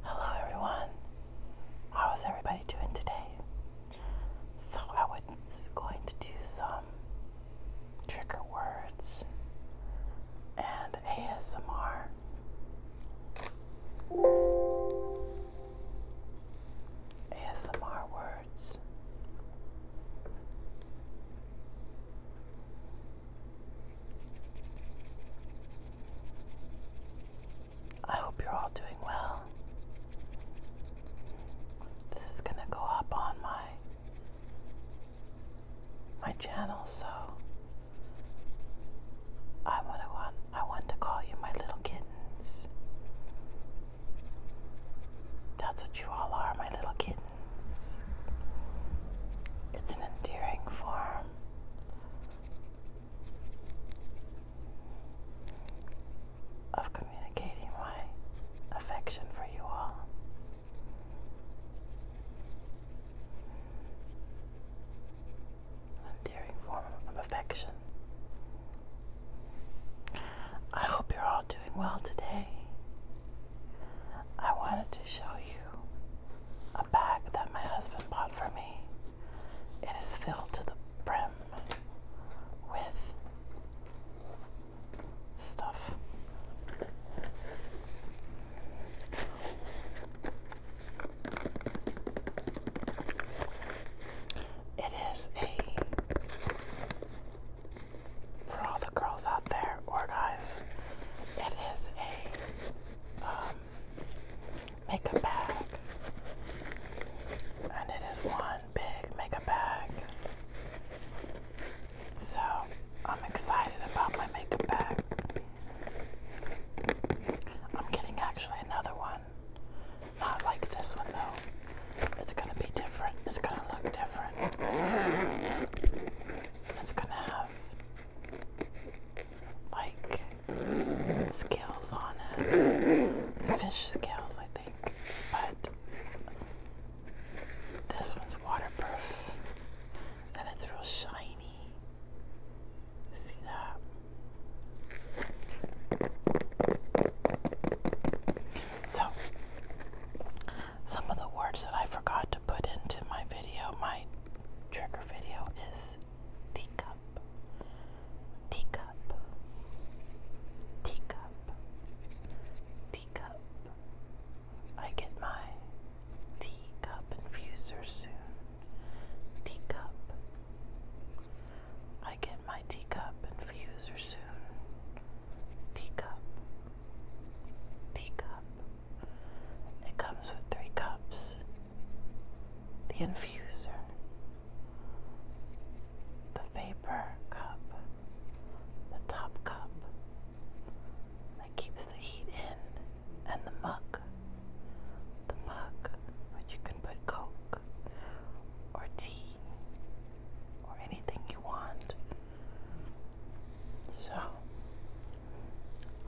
Hello everyone. How is everybody doing today? So I was going to do some trigger words and ASMR. ASMR words. I hope you're all doing well. This is gonna go up on my my channel, so I want to want I want to call you my little kittens. That's what you all are, my little kittens. It's an endearing form of communicating my affection for you all. endearing form of affection. I hope you're all doing well today. I wanted to show you bag that my husband bought for me. It is filled to the brim with stuff. It is a, for all the girls out there or guys, it is a um, makeup bag. And it is one big makeup bag. So I'm excited about my makeup bag. I'm getting actually another one. Not like this one though. It's gonna be different. It's gonna look different. It's gonna have like scales on it, fish scales, I think. But this one's waterproof and it's real shiny. See that? So some of the words that I forgot to put into my video, my trigger video, is teacup, teacup, teacup, teacup. I get my teacup infuser soon. Teacup. I get my teacup infuser soon. Teacup. Teacup. It comes with three cups, the infuser, the vapor cup, the top cup that keeps the heat in, and the mug. The mug, which you can put Coke or tea or anything you want. So,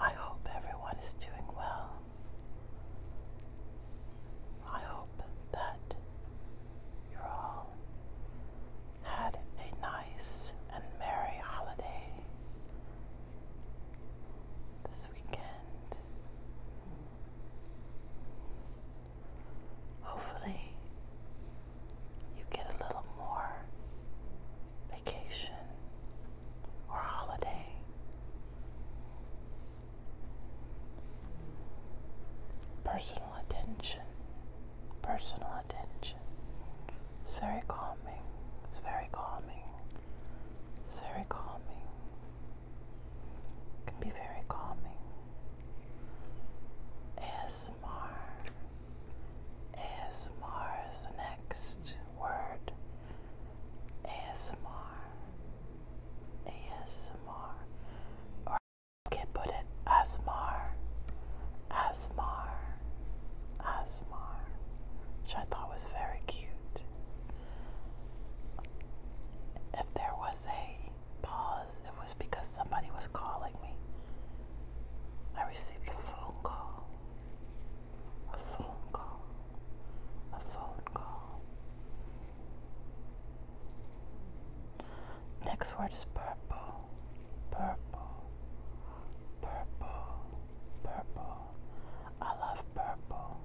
I hope everyone is doing well. I hope that you all had a nice and merry holiday this weekend. Hopefully, you get a little more vacation, or holiday. Personal attention, personal attention. It's very calming, it's very calming, it's very calming. It can be very calming. ASMR ASMR's next word. ASMR. ASMR. Or you can put it ASMR. ASMR. ASMR. Which I thought was very cute. If there was a pause, it was was because somebody was calling me. I received a phone call. A phone call. A phone call. Next word is purple. Purple. Purple. Purple. I love purple.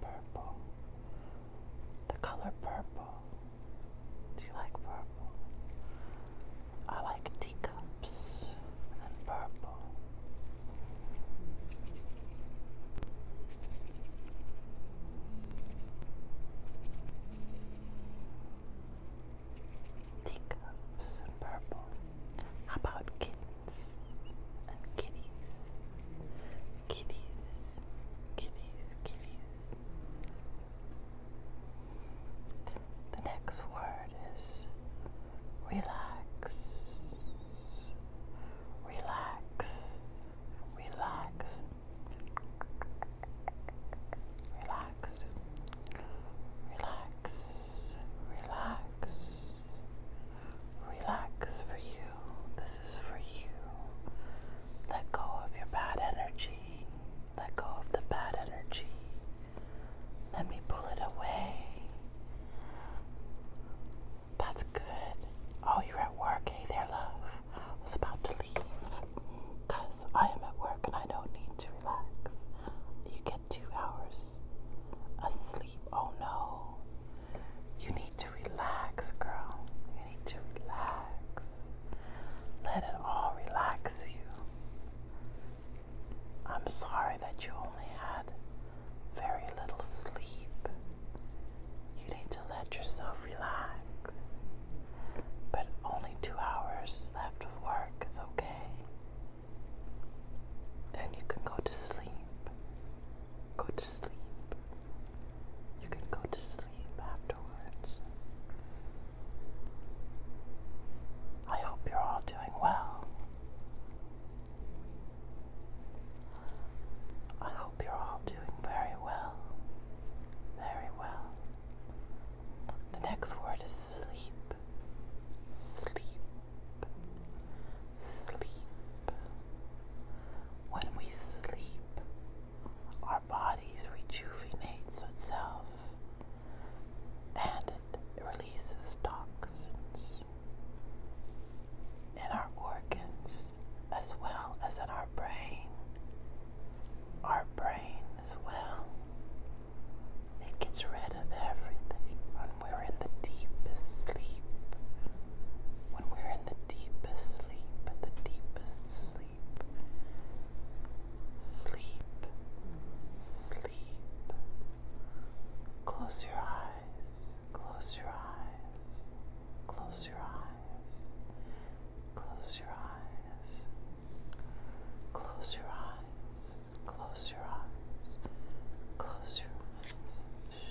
Purple. The color purple. Do you like purple? I like teacups and purple. Teacups and purple. about kittens and kitties? Kitties, kitties, kitties. The next word is relax, relax, relax, relax, relax, relax, relax for you. This is for you. Let go of your bad energy. Let go of the bad energy. Let me pull it away. That's good. Oh, you're at work. Hey there, love. I was about to leave because I am at work and I don't need to relax. You get two hours asleep. Oh no. You need to relax, girl need to relax. Let it all relax you. I'm sorry that you only had very little sleep. You need to let yourself relax. But only two hours left of work is okay. Then you can go to sleep. Go to sleep. You can go to sleep afterwards. I hope you're all doing well. I hope you're all doing very well. Very well. The next word is sleep. Sleep. Sleep. When we sleep, our bodies rejuvenates itself and it releases toxins in our organs as well as in our brain. Our brain as well. It gets rid of everything when we're in the deepest sleep. When we're in the deepest sleep, the deepest sleep sleep, sleep, sleep. Close your eyes, close your eyes, close your eyes, close your eyes, close your eyes, close your eyes, close your eyes. Shh. Shh.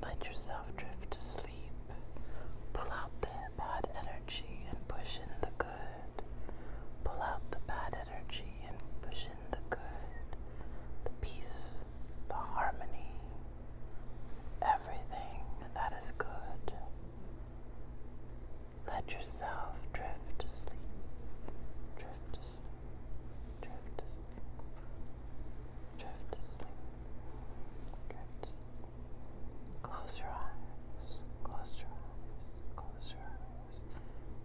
Let yourself drift to sleep. Pull out the bad energy and push in the good. Pull out the bad energy and push in the good. The peace, the harmony, everything that is good. Let yourself drift to sleep. Drift to sleep. Drift to sleep. Drift Drift Close your eyes. Close your eyes. Close your eyes.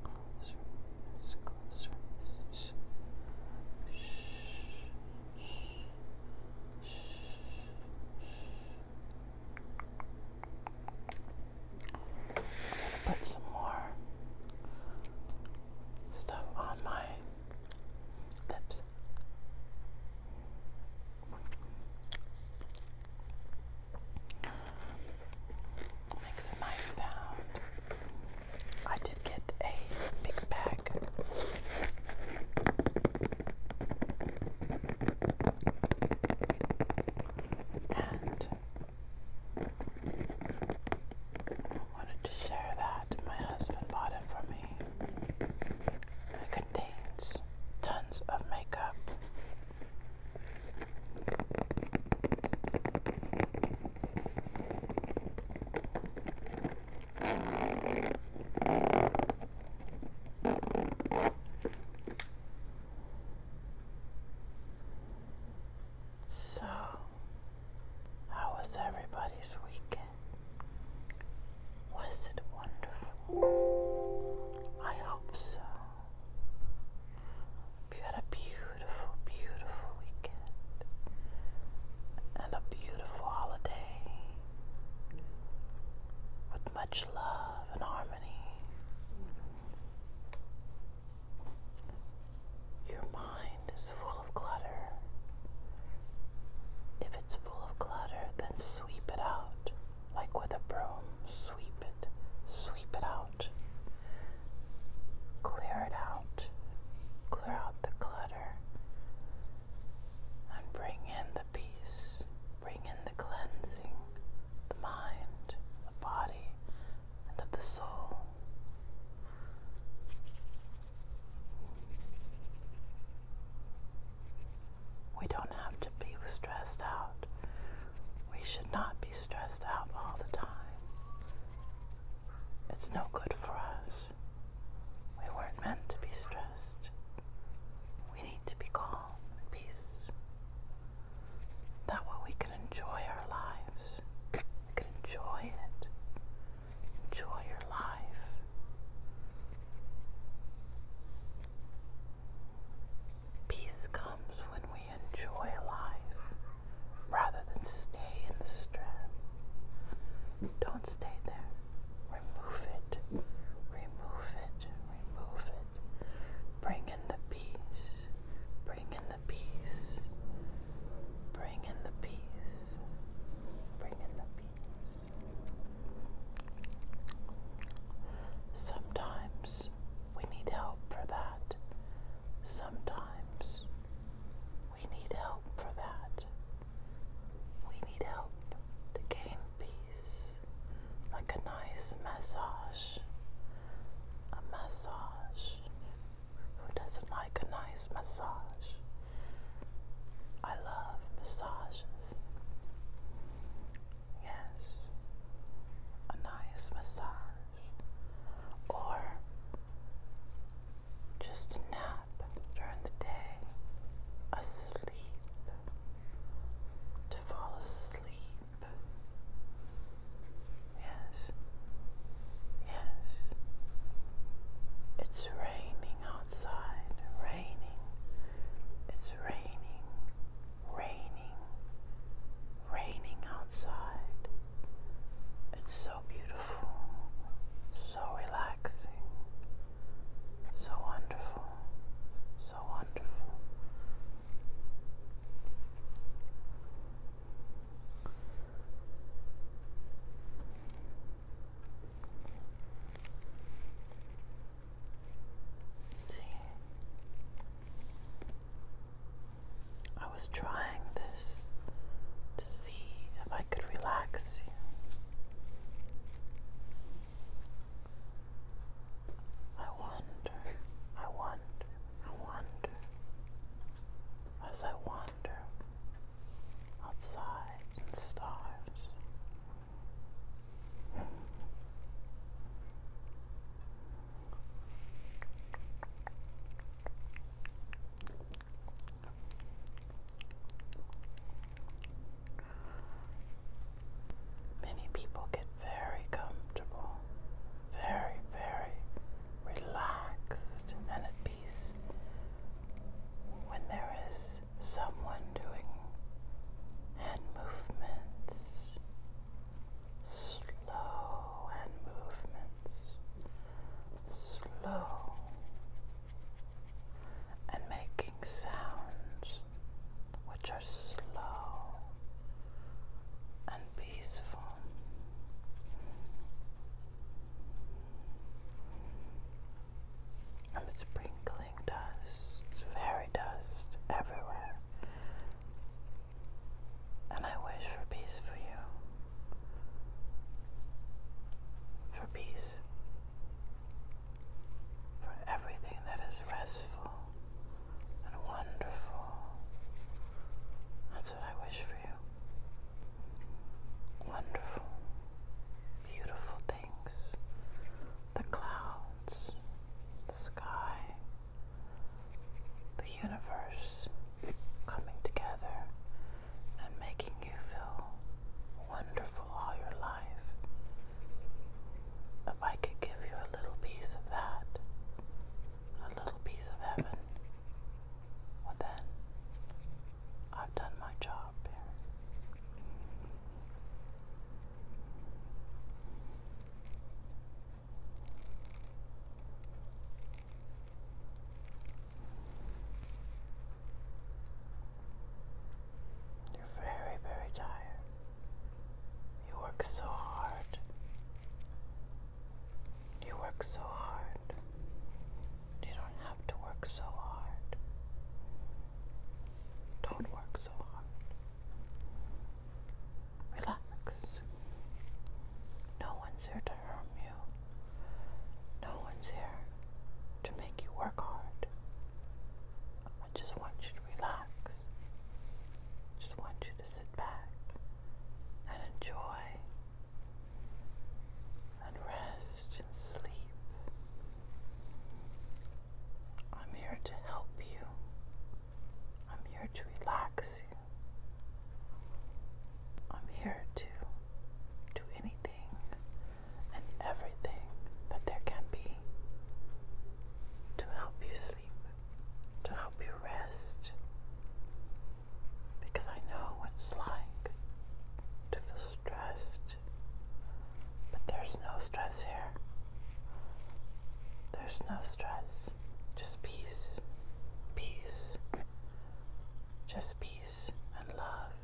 Close your eyes. Close your eyes. Shh. Shh. Shh. Shh. Shh. I'm gonna put some more stuff on my Lips. Makes a nice sound. I did get a big bag. And wanted to share that. My husband bought it for me. It contains tons of makeup. So how was everybody's weekend? Was it wonderful? I hope so. You had a beautiful, beautiful weekend and a beautiful holiday with much love and harmony. Your mind is full if it's full of clutter, then sweep it out. Like with a broom, sweep it, sweep it out. Clear it out. Clear out the clutter. And bring in the peace. Bring in the cleansing, the mind, the body, and of the soul. We don't have to be stressed out. We should not be stressed out all the time. It's no good for us. We weren't meant to be stressed. We need to be calm and peace. That way we can enjoy our lives. You enjoy it. Enjoy your life. Peace comes when we enjoy life rather than stay in the stress. Don't stay there. Remove it. Remove it. Remove it. Bring in the peace. Bring in the peace. Bring in the peace. Bring in the peace. Sometimes we need help for that. Sometimes we need help for that. We need help to gain peace, like a nice massage. A massage who doesn't like a nice massage? I love massages. Yes, a nice massage. Or just a nap during the day, a sleep, to fall asleep. Yes. Yes. It's raining outside. Raining. It's raining. Raining. Raining outside. It's so beautiful. So relaxing. So wonderful. So wonderful. See, I was trying this to see if I could relax I wonder, I wonder, I wonder, as I wander outside in the stars. Many people get very comfortable, very, very relaxed and at peace when there is someone doing hand movements, slow hand movements, slow and making sounds which are slow and peaceful. I'm sprinkling dust, fairy dust, everywhere. And I wish for peace for you. For peace. For everything that is restful and wonderful. That's what I wish for you. Wonderful, beautiful things. The clouds, the sky, the universe coming together and making you feel wonderful all your life. If I could give you a little piece of that, a little piece of heaven. Well, then, I've done my job You're very, very tired. You work so hard. You work so hard. You don't have to work so hard. Don't work so hard. Relax. No one's here to harm you. No one's here to make you work hard. I just want you to relax. I just want you to sit back and enjoy and rest and sleep. I'm here to help you. I'm here to relax you. I'm here to do anything and everything that there can be to help you to help you rest, because I know what it's like to feel stressed. But there's no stress here. There's no stress, just peace, peace, just peace and love,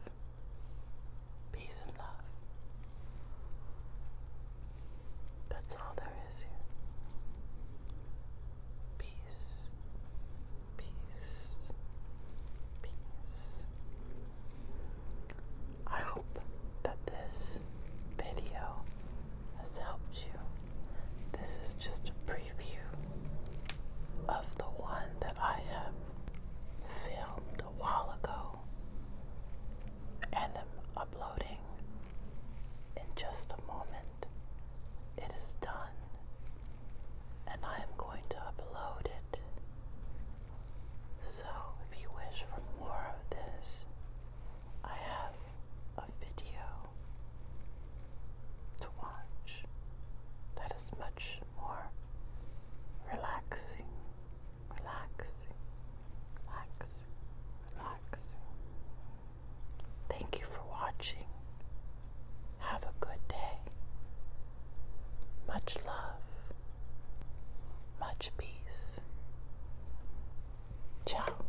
peace and love. That's all there is here. Peace, peace, peace. I hope that this video has helped you. This is just a preview of the one that I have filmed a while ago and am uploading in just a moment, it is done, and I am going to upload it. So, if you wish for more of this, I have a video to watch that is much more relaxing, relaxing relax, relax. Thank you for watching. Have a good day. Much love, much peace. Ciao.